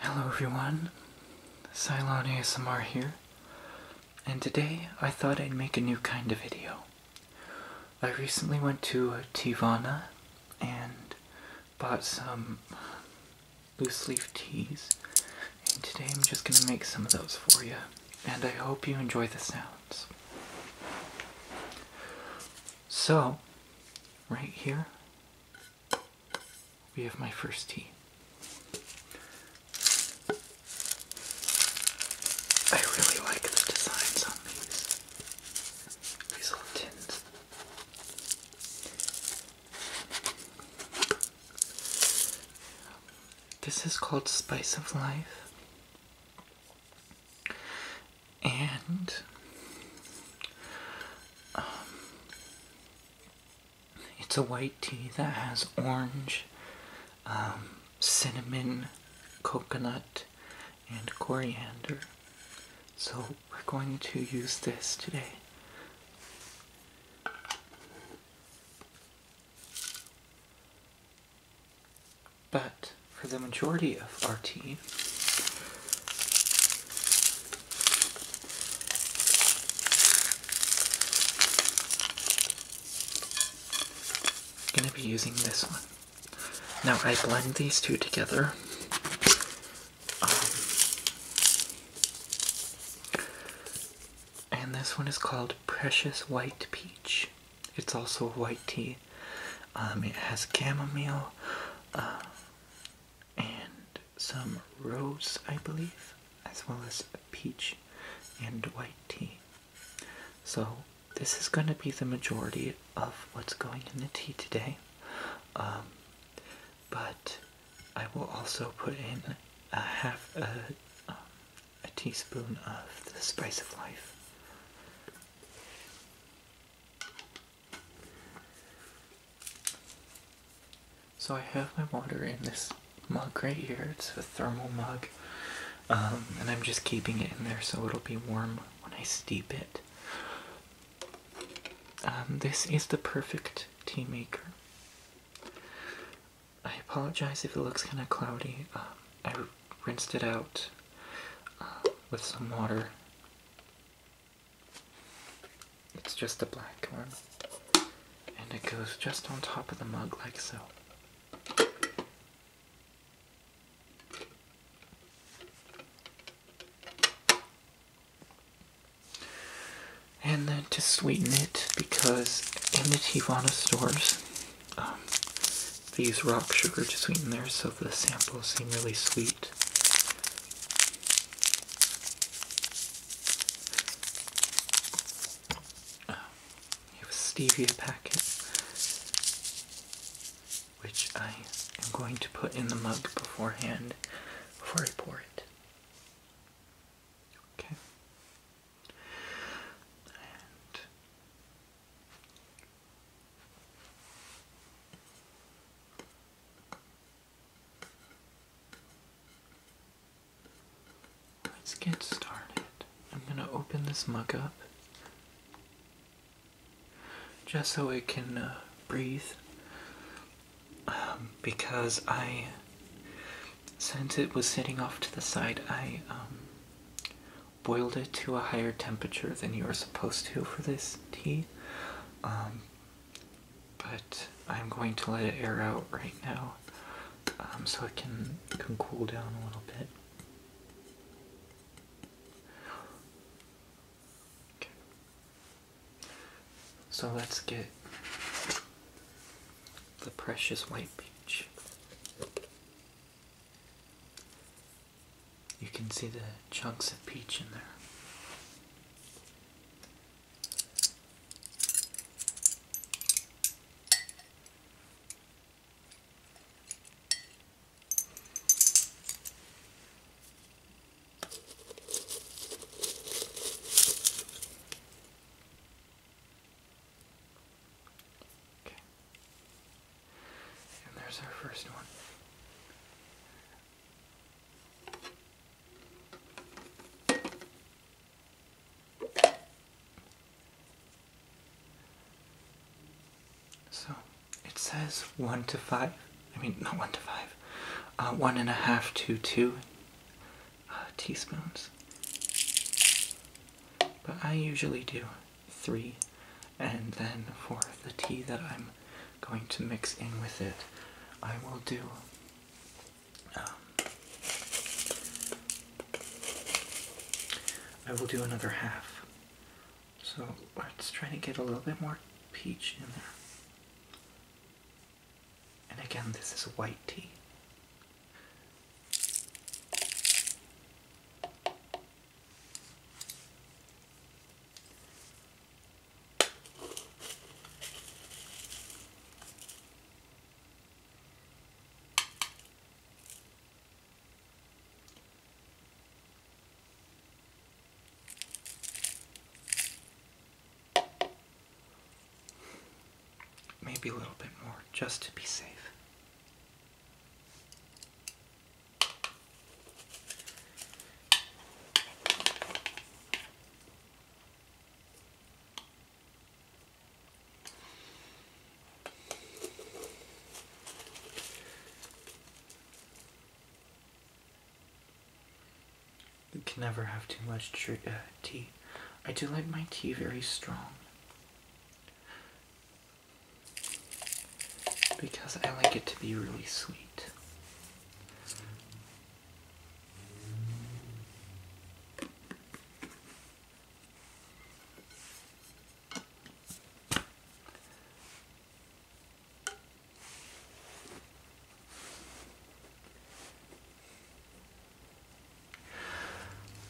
Hello everyone, Cylon ASMR here, and today I thought I'd make a new kind of video. I recently went to Tivana and bought some loose leaf teas and today I'm just going to make some of those for you. And I hope you enjoy the sounds. So, right here, we have my first tea. I really like the designs on these. These little tins. This is called Spice of Life. And um, it's a white tea that has orange, um, cinnamon, coconut, and coriander. So we're going to use this today. But for the majority of our tea, I'm going to be using this one. Now I blend these two together. Um, and this one is called Precious White Peach. It's also white tea. Um, it has chamomile uh, and some rose, I believe, as well as peach and white tea. So this is going to be the majority of what's going in the tea today. Um, but I will also put in a half a, um, a teaspoon of the spice of life. So I have my water in this mug right here. It's a thermal mug. Um, and I'm just keeping it in there so it'll be warm when I steep it. Um, this is the perfect tea maker. I apologize if it looks kind of cloudy. Um, I rinsed it out uh, with some water. It's just a black one. And it goes just on top of the mug like so. And then to sweeten it, because in the Tivana stores, um, they use rock sugar to sweeten theirs, so the samples seem really sweet. Uh, have a stevia packet, which I am going to put in the mug beforehand before I pour it. Okay. Let's get started. I'm going to open this mug up just so it can uh, breathe um, because I since it was sitting off to the side, I um, boiled it to a higher temperature than you are supposed to for this tea. Um, but I'm going to let it air out right now um, so it can, cool down a little bit. So let's get the precious white peach. You can see the chunks of peach in there. Okay. And there's our first one. So it says one to five. I mean, not one to five. Uh, one and a half to two. Uh, teaspoons. But I usually do three, and then for the tea that I'm going to mix in with it, I will do um, I will do another half. So let's try to get a little bit more peach in there. And again, this is white tea. Maybe a little bit more, just to be safe. You can never have too much uh, tea. I do like my tea very strong. Because I like it to be really sweet.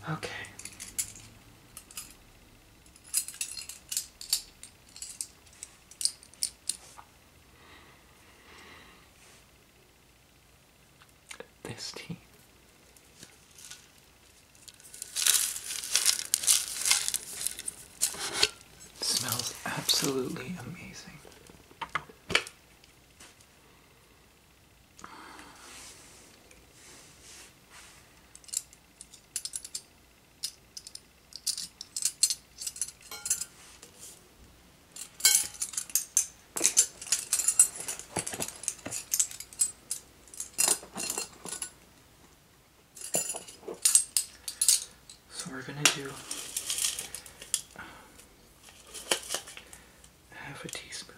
Okay. This tea. smells absolutely amazing. So we're gonna do half a teaspoon.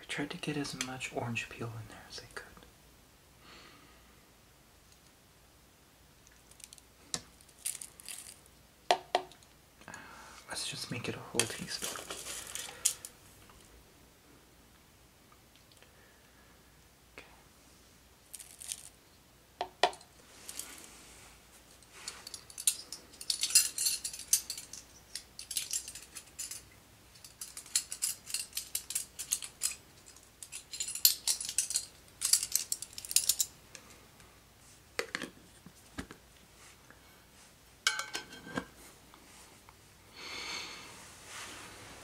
I tried to get as much orange peel in there as I could. Let's just make it a whole teaspoon.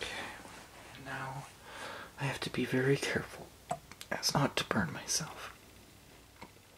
Okay, now I have to be very careful as not to burn myself.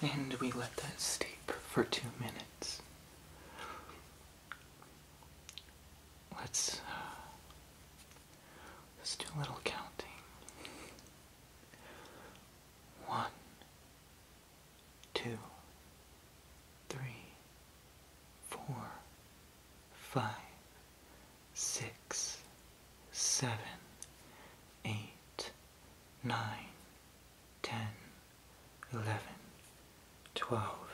And we let that steep for two minutes. Let's uh, let's do a little counting. One, two, three, four, five, six, seven, eight, nine, ten, eleven, twelve,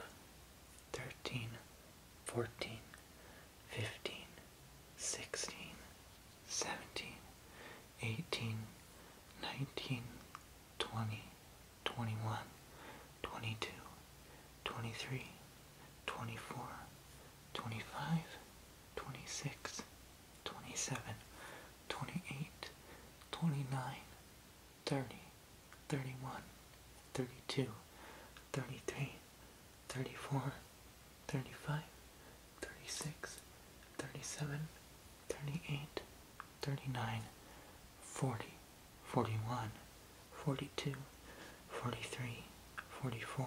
thirteen, fourteen, fifteen, sixteen, seventeen, eighteen, nineteen, twenty, twenty-one, twenty-two, twenty-three. 24, 25, 26, 27, 28, 29, 30, 31, 32, 33, 24, 25, 26, 27, 28, 29, 30, 31, 32, 33, 34, 35, 36, 37, 38, 39, 40, 41, 42, 43, 44,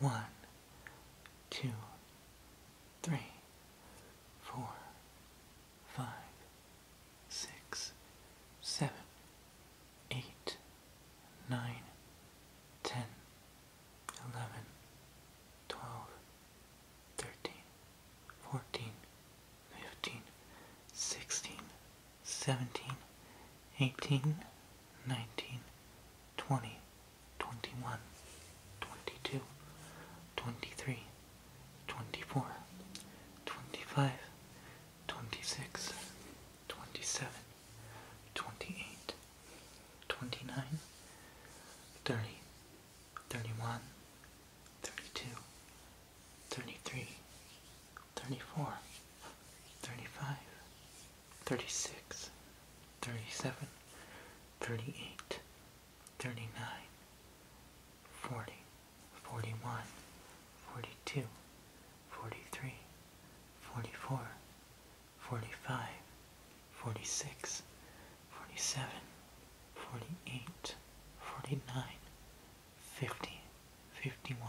One, two, three, four, five, six, seven, eight, nine, ten, eleven, twelve, thirteen, fourteen, fifteen, 16, 17, 18, 19, 20, 21, 22, 23, 24, 25, 26, 27, 28, 29, 30, 31, 32, 33, 34, 35, 36, 37, 38, 39, 40, 41, 42, 43, 44, 45, 46, 47, 48, 49, 50, 51,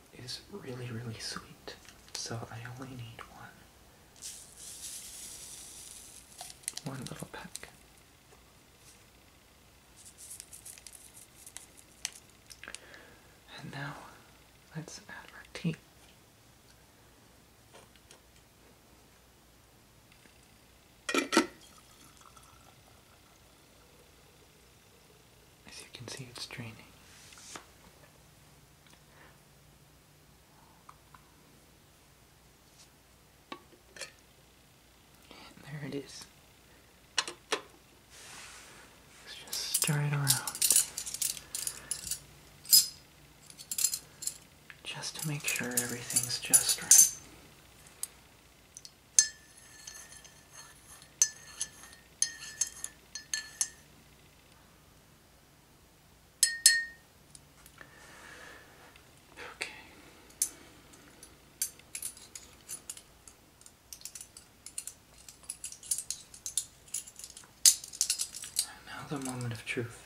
is really, really sweet, so I only need one. One little peck. And now let's add our tea. As you can see, it's draining. there it is. Let's just stir it around. Just to make sure everything's just right. Okay. Now the moment of truth.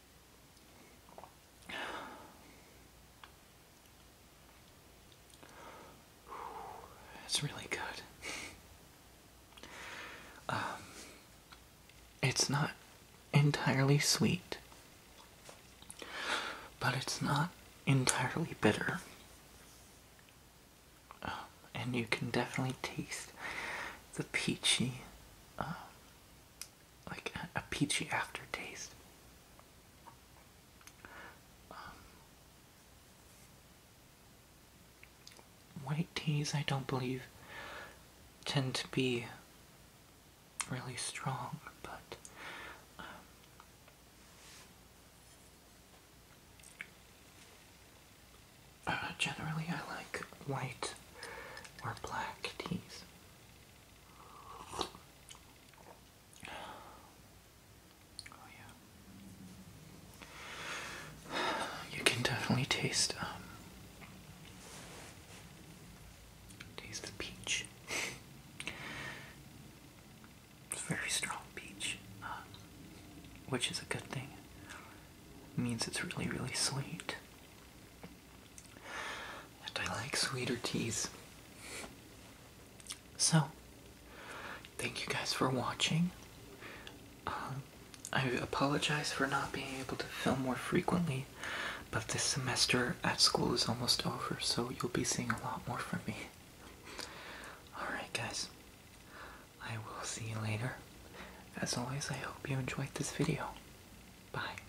It's really good. Um, it's not entirely sweet, but it's not entirely bitter. Um, and you can definitely taste the peachy uh, like a, peachy aftertaste. Um, white teas, I don't believe, tend to be really strong, but um, uh, generally I like white or black teas. Oh, you can definitely taste, um, taste the peach. It's very strong peach, uh, which is a good thing. means it's really, really sweet. And I like sweeter teas. So, thank you guys for watching. Um, I apologize for not being able to film more frequently, but this semester at school is almost over, so you'll be seeing a lot more from me. Alright, guys, I will see you later. As always, I hope you enjoyed this video. Bye.